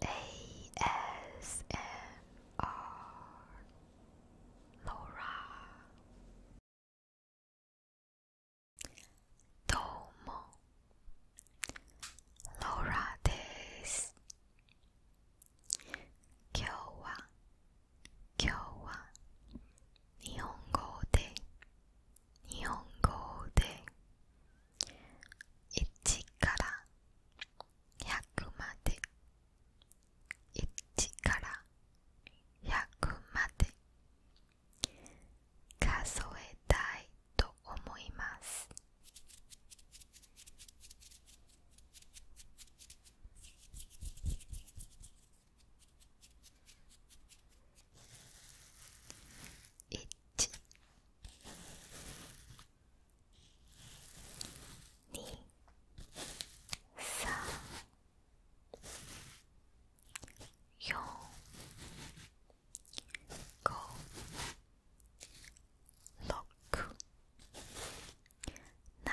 ASMR ローラどうもローラです今日は今日は日本語で日本語で1から100まで1から100まで数えたいと思います一、二、三、四、五、六、七。八、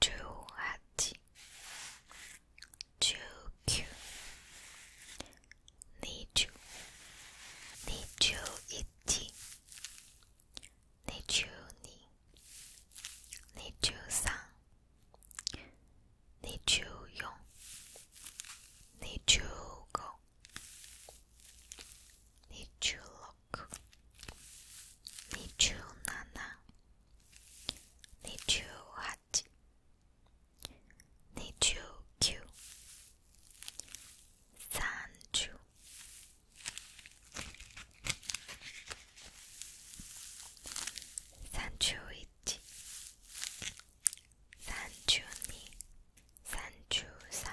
十八、十九、二十、二十一、二十二、二十三、二十四、二十五、二六、二十七、二十八、二十九、三十。三十一、三十二、三十三、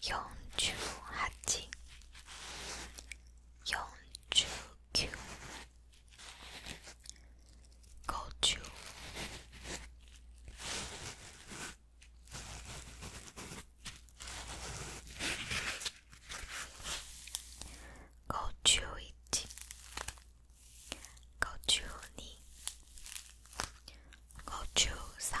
四十八、四十九、五十、五十一、五十二、五十三。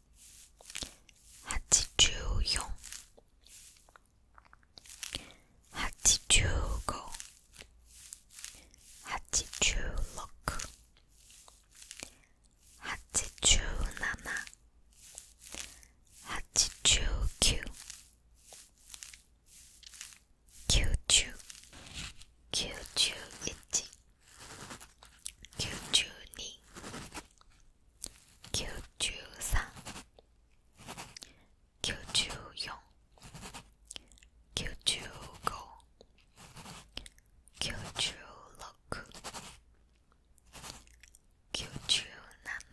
84 85 86 87 89 90 91九十二九十三九十四九十五九十六九十七九十八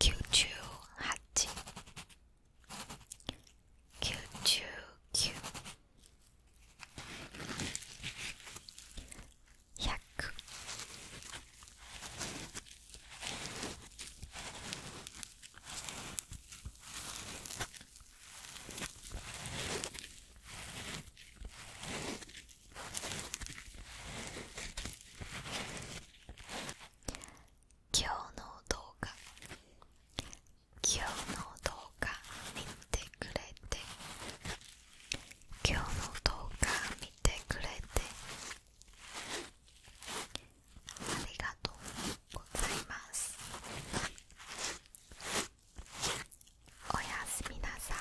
九十九100今日の動画今日の動画見てくれて今日の動画見てくれてありがとうございますおやすみなさい